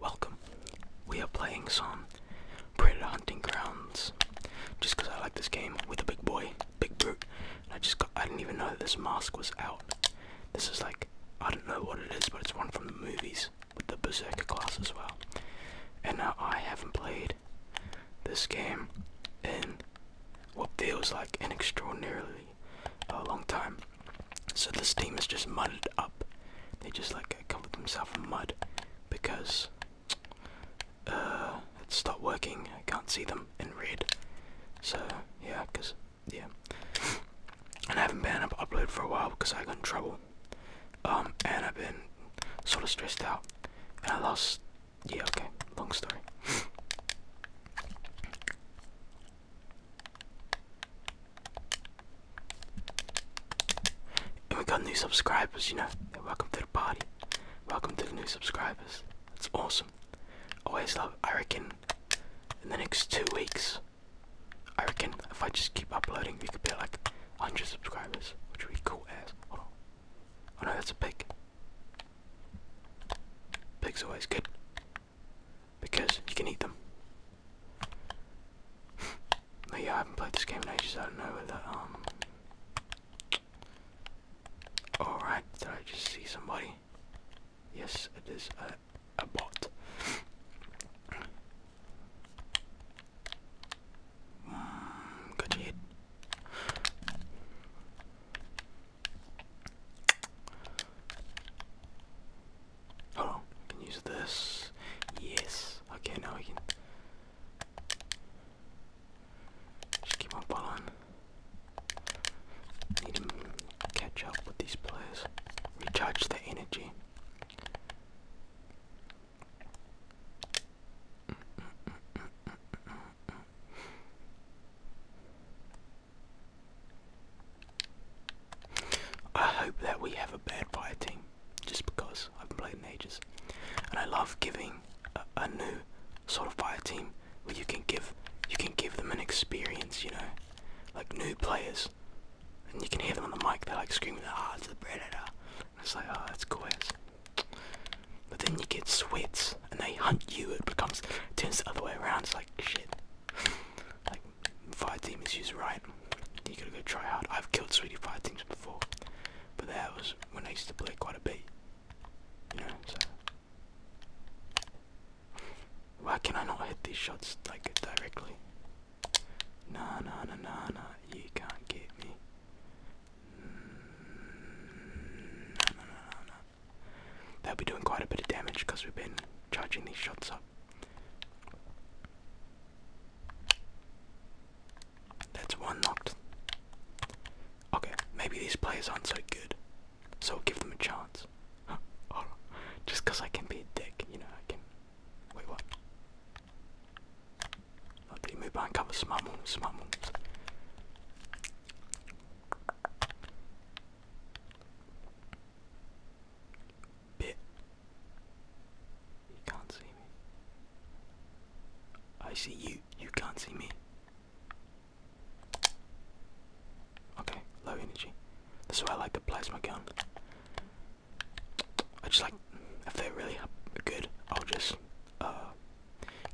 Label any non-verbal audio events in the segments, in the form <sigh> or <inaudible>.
Welcome. We are playing some Predator Hunting Grounds. Just because I like this game with a big boy, big brute. I just I didn't even know that this mask was out. This is like I don't know what it is, but it's one from the movies with the Berserker class as well. And now I haven't played this game in what feels like an extraordinarily uh, long time. So the steam is just muddied up. They just like covered themselves in mud because uh, it's not working. I can't see them in red. So yeah, because yeah. And I haven't been able to upload for a while because I got in trouble. Um, and I've been sort of stressed out. And I lost. Yeah, okay, long story. <laughs> and we got new subscribers, you know. welcome to the party. Welcome to the new subscribers. That's awesome. Always love. I reckon in the next two weeks. I reckon if I just keep uploading, we could be like 100 subscribers, which would be cool as. Hold on. Oh no, that's a pig. Pigs are always good because you can eat them. <laughs> but yeah, I haven't played this game in ages. I don't know whether um. All right, did I just see somebody? Yes, it is uh, a bot. Mm, good hit. Oh, I can use this. Yes. Okay, now we can just keep on pulling. Need to catch up with these players. Recharge the energy. I hope that we have a bad fire team, just because I've been playing ages, and I love giving a, a new sort of fire team where you can give you can give them an experience, you know, like new players, and you can hear them on the mic. They're like screaming, "Ah, oh, it's the predator!" And it's like, "Oh, that's cool. But then you get sweats, and they hunt you. It becomes it turns the other way around. It's like shit. like fire demons is right. You gotta go try hard. I've killed sweetie fire teams before, but that was when I used to play quite a bit. You know, why can I not hit these shots like directly? Nah, nah, nah, nah, nah. You can't get me. No, no, no, no, no. They'll be doing quite a bit of damage because we've been charging these shots up. That's one locked. Okay, maybe these players aren't so good. So give them a chance. Just because I can be a dick, you know, I can. Wait, what? Okay, oh, move behind cover. Smart moves, smart Bit. You can't see me. I see you. You can't see me. Okay, low energy. This is why I like the plasma gun. I just like if they're really good, I'll just uh,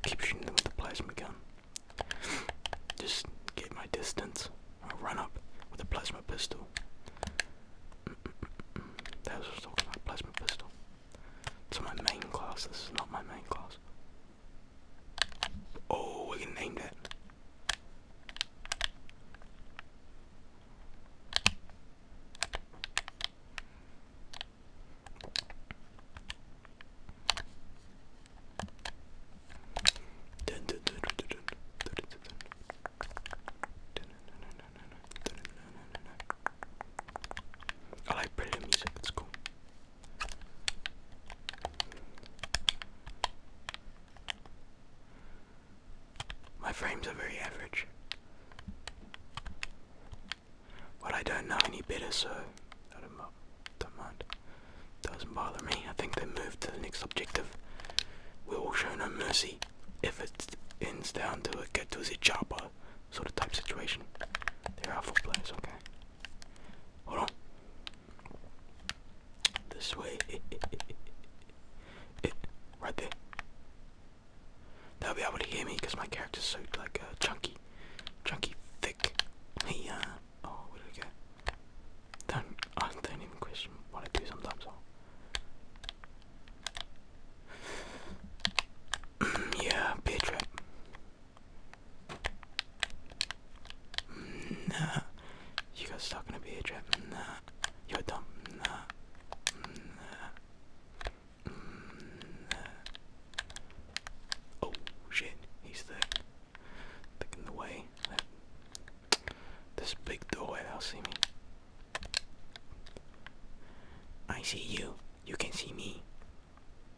keep shooting them with the plasma gun. Just get my distance. i run up with the plasma pistol. Mm That was talking about, plasma pistol. It's my main class. This is not my main class. Oh, we can name that. I like pretty music, it's cool. My frames are very average. But I don't know any better, so don't, mind. Doesn't bother me. I think they move to the next objective. We will show no mercy if it ends down to a get to the chopper sort of type situation. There are four players, okay. Hold on. This way. <laughs> right there. They'll be able to hear me my character's so like uh, chunky, chunky, thick. Hey, uh, oh, what did I get? Don't, don't even question what I do sometimes. Oh. <clears throat> yeah, beer trap. Nah. You guys are gonna be a trap. Nah. You're dumb. Nah. Nah. Nah. Oh shit, he's there. Thick the way. this big doorway that'll see me. I see you. You can see me.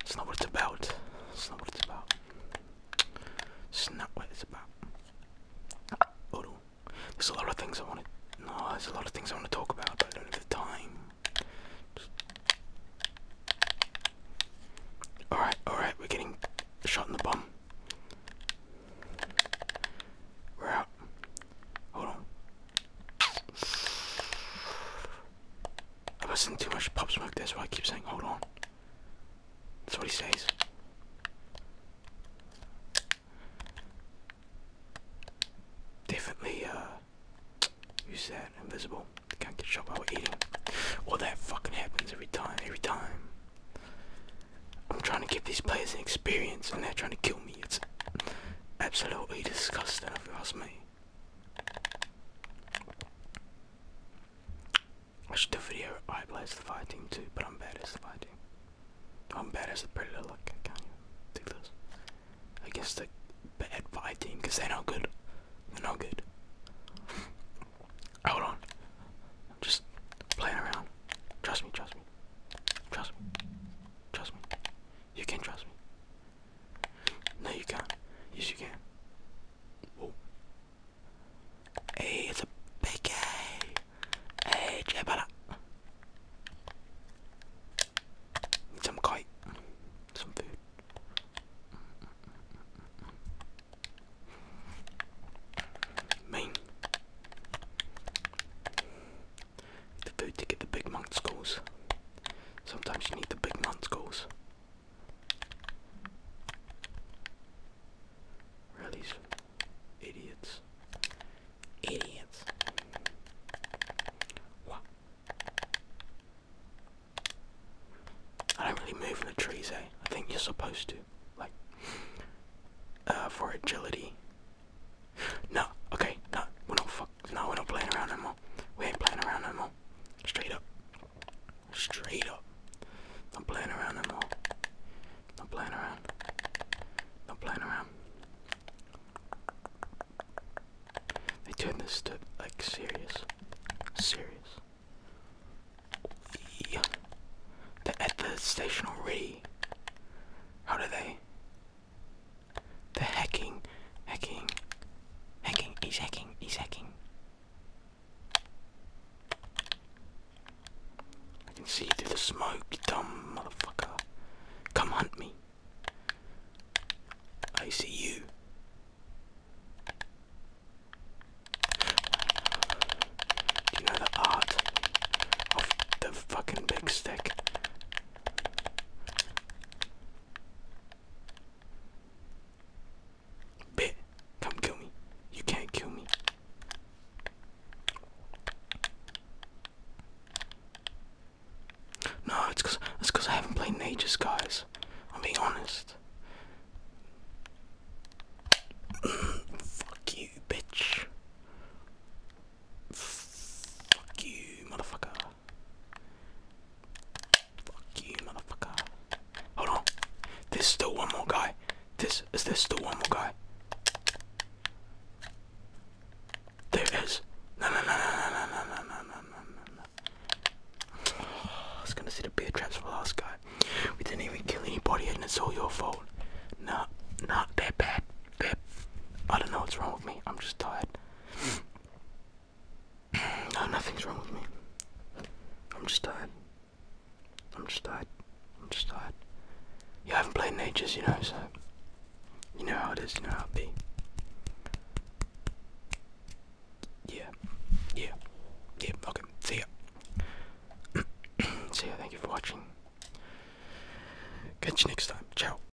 It's not what it's about. It's not what it's about. It's not what it's about. Oh, no. There's a lot of things I want to. No, there's a lot of things I want to talk about, but I don't have the time. Alright, alright, we're getting shot in the bum. We're out. Hold on. I've listened too much Pop Smoke, that's why I keep saying hold on. That's what he says. Definitely, uh, who's that? Invisible. Can't get shot while we're eating. Well, that fucking happens every time, every time. I'm trying to give these players an experience and they're trying to kill me. It's absolutely disgusting if you ask me. I should do a video I play as the fire team too, but I'm bad as the fire team. I'm bad as a pretty little I can't even do the bad fire team, because they're not good. They're not good. Hold on. I'm just playing around. Trust me, trust me. Trust me. Trust me. You can trust me. No, you can't. Yes, you can. Whoa. Hey, it's a big A. Hey, Jabala. some kite. Some food. Mine. The food to get the big monk skulls. Sometimes you need the big man's goals. Really, idiots. Idiots. What? I don't really move in the trees, eh? I think you're supposed to. Like, uh, for agility. No, okay, no, we're not no, we're not playing around no more. We ain't playing around no more. Straight up. Straight up. Not playing around no more. Not playing around. Not playing around. They turned this to like serious. Serious. Yeah. They're at the station already. How do they? The hacking, hacking, hacking, is hacking, is hacking. I can see through the smoke, dumb motherfucker. Come hunt me. I see you. Do you know the art of the fucking big stick? Bet, come kill me. You can't kill me. No, it's cause I haven't played in ages, guys. I'm being honest. <clears throat> Fuck you, bitch. Fuck you, motherfucker. Fuck you, motherfucker. Hold on. There's still one more guy. This is there still one more guy? There is. No, no, no, no, no, no, no, no, no, no, no. I was gonna see the bear traps for the last guy. We didn't even kill anybody, and it's all your fault. Nah, not that bad. That I don't know what's wrong with me. I'm just tired. No, nothing's wrong with me. I'm just tired. I'm just tired. I'm just tired. Yeah, I haven't played in ages, you know, so. You know how it is, you know how it be. Yeah. Yeah. Yeah, okay. See ya. <clears throat> See ya, thank you for watching. Catch you next time. Ciao.